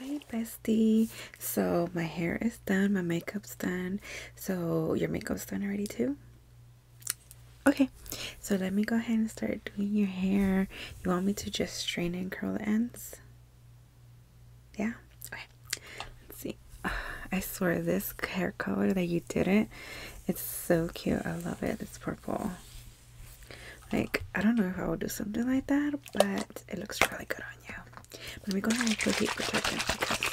Hey bestie. So my hair is done, my makeup's done. So your makeup's done already too? Okay, so let me go ahead and start doing your hair. You want me to just straighten and curl the ends? Yeah? Okay. Let's see. I swear this hair color that you did it, it's so cute. I love it. It's purple. Like, I don't know if I would do something like that, but it looks really good on you. Let me go ahead and put heat protectant because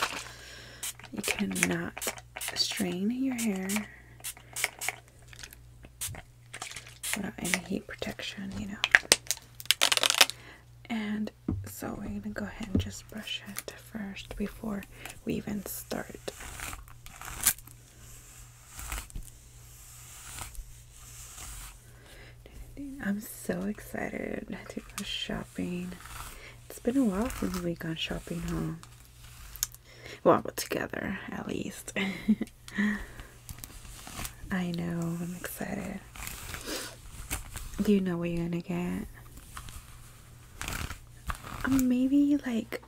you cannot strain your hair without any heat protection, you know. And so we're going to go ahead and just brush it first before we even start. I'm so excited to go shopping. It's been a while since we've gone shopping, huh? Well, together at least. I know, I'm excited. Do you know what you're gonna get? Um, maybe like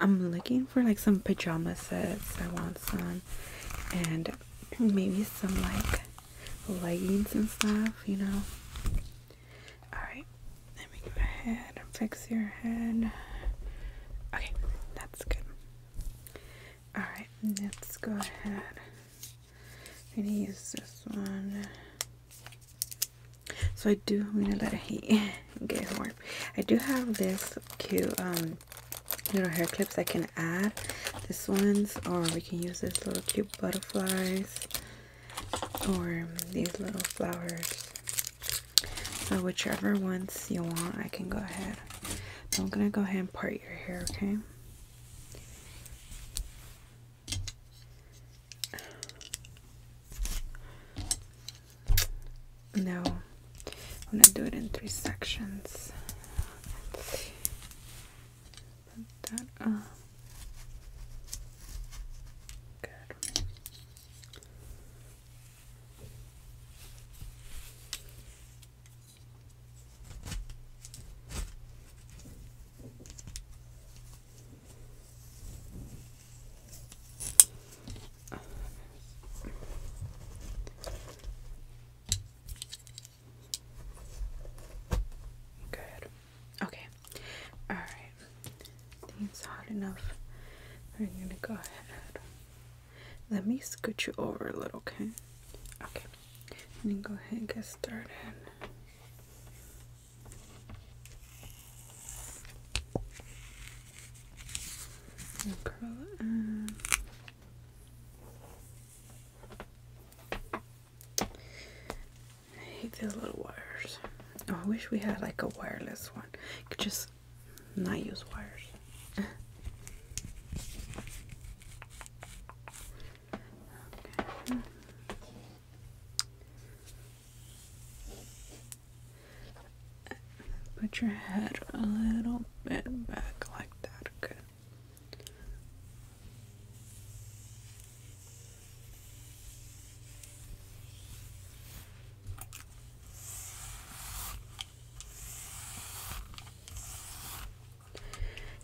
I'm looking for like some pajama sets. I want some, and maybe some like leggings and stuff. You know. All right. Let me go ahead and fix your head. Okay, that's good. All right. Let's go ahead. i gonna use this one. So I do. I'm gonna let it get warm. I do have this cute um, little hair clips I can add. This ones, or we can use this little cute butterflies, or these little flowers. So whichever ones you want, I can go ahead. I'm gonna go ahead and part your hair, okay? No, I'm gonna do it in three sections. Let's see. Put that up good. Okay. All right. it's hot enough. We're gonna go ahead. Let me scoot you over a little, okay? Okay. And go ahead and get started. I hate those little wires. Oh, I wish we had like a wireless one. could just not use wires. Put your head a little bit back like that. Good.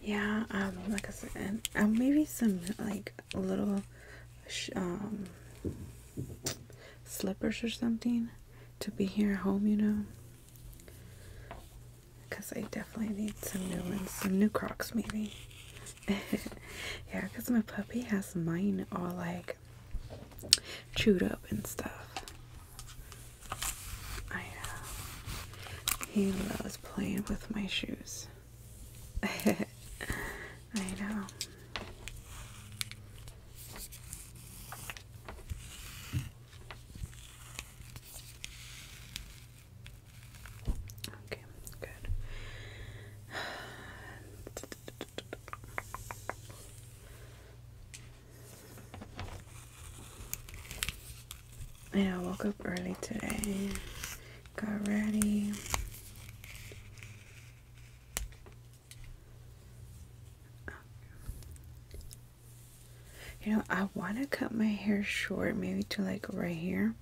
Yeah, um, like I said, um, maybe some like little um, slippers or something to be here at home, you know. Because I definitely need some new ones, some new Crocs, maybe. yeah, because my puppy has mine all like chewed up and stuff. I know. Uh, he loves playing with my shoes. I know. Okay, good. Yeah, I woke up early today. Got ready. You know, I want to cut my hair short, maybe to like right here,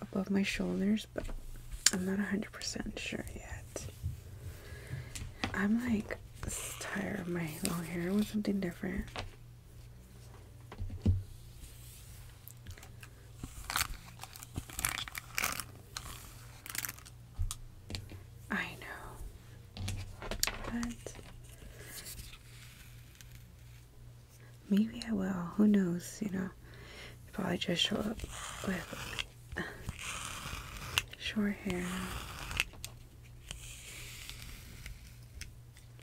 above my shoulders, but I'm not 100% sure yet. I'm like tired of my long hair. I want something different. I know, but maybe I will. Who knows? You know, probably just show up with short hair.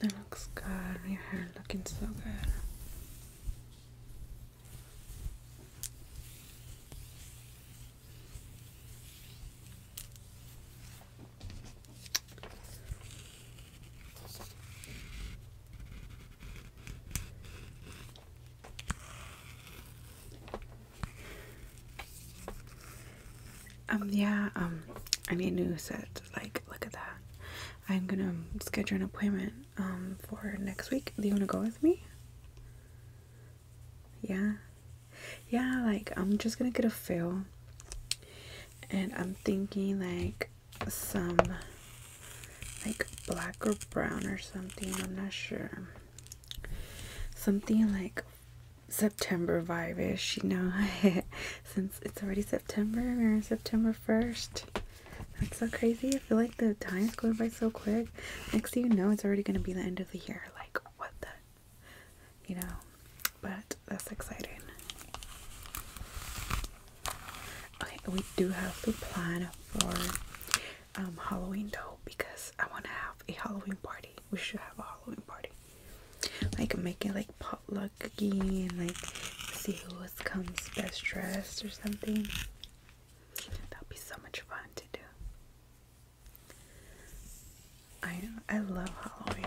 That looks good. Your hair looking so good. Um, yeah, um, I need new set like look at that. I'm gonna schedule an appointment um for next week. Do you wanna go with me? Yeah. Yeah, like I'm just gonna get a fill, and I'm thinking like some like black or brown or something, I'm not sure. Something like September vibe ish, you know. since it's already September or September 1st. That's so crazy. I feel like the time is going by so quick. Next thing you know, it's already going to be the end of the year. Like, what the? You know, but that's exciting. Okay, we do have to plan for um, Halloween though because I want to have a Halloween party. We should have a Halloween party like make it like potluck again, like see who comes best dressed or something. That'd be so much fun to do. I I love Halloween.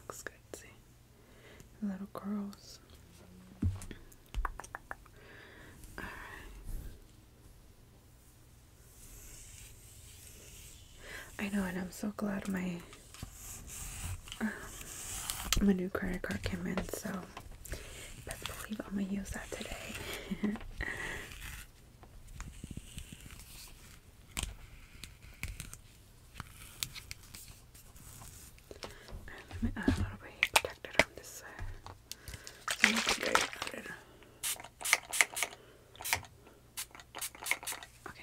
Looks good, see? Little curls. All right. I know, and I'm so glad my my new credit card came in, so best believe I'm gonna use that today. let me add a little bit of protector on this side. Okay,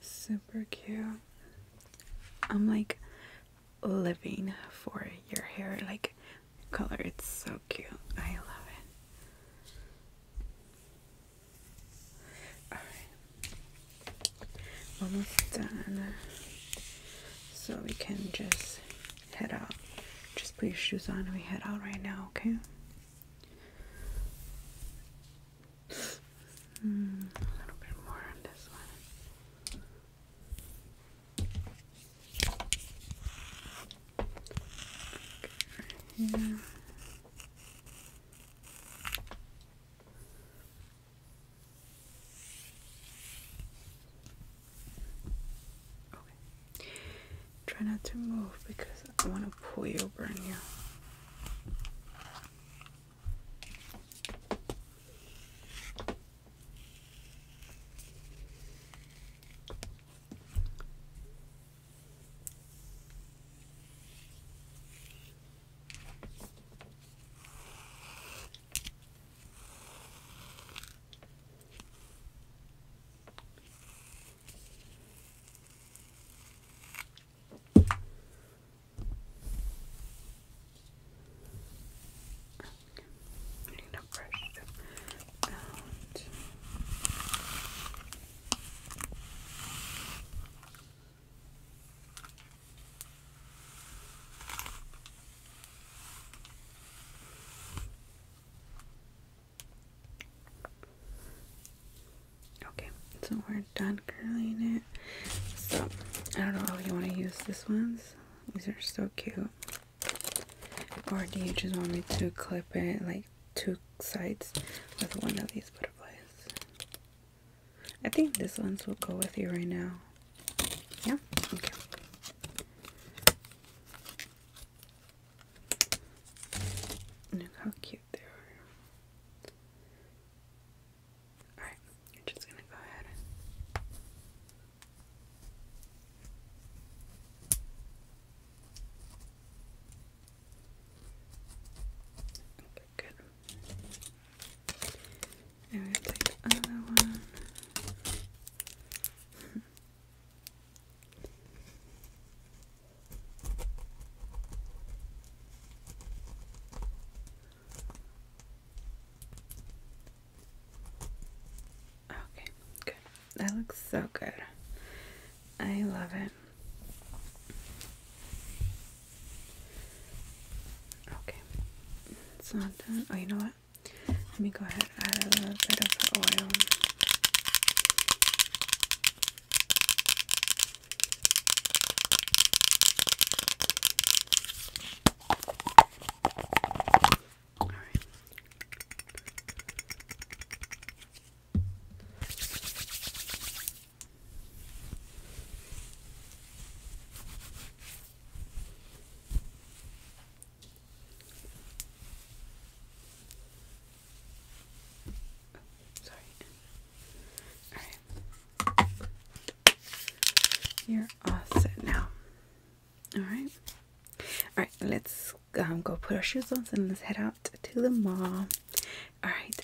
Super cute. I'm like living for your hair like color. It's so cute. I love it. Alright. Almost done. So we can just head out. Just put your shoes on and we head out right now, okay? Hmm, a little bit more on this one. Okay, Okay. Try not to move because I want to pull you over in here. I need a brush to out. Okay, so we're done curling it. So I don't know if you want to use this ones. These are so cute. Or do you just want me to clip it like two sides with one of these butterflies? I think this ones will go with you right now. Yeah? Look how cute they are. Alright, I'm just gonna go ahead Okay, good. And we play the other one. okay, good. That looks so good. I love it. Okay, it's not done. Oh, you know what? Let me go ahead and add a little bit of oil. All right. Sorry. All right. You're all set now. All right. All right. Let's um, go put our shoes on and let's head out to the mall. All right.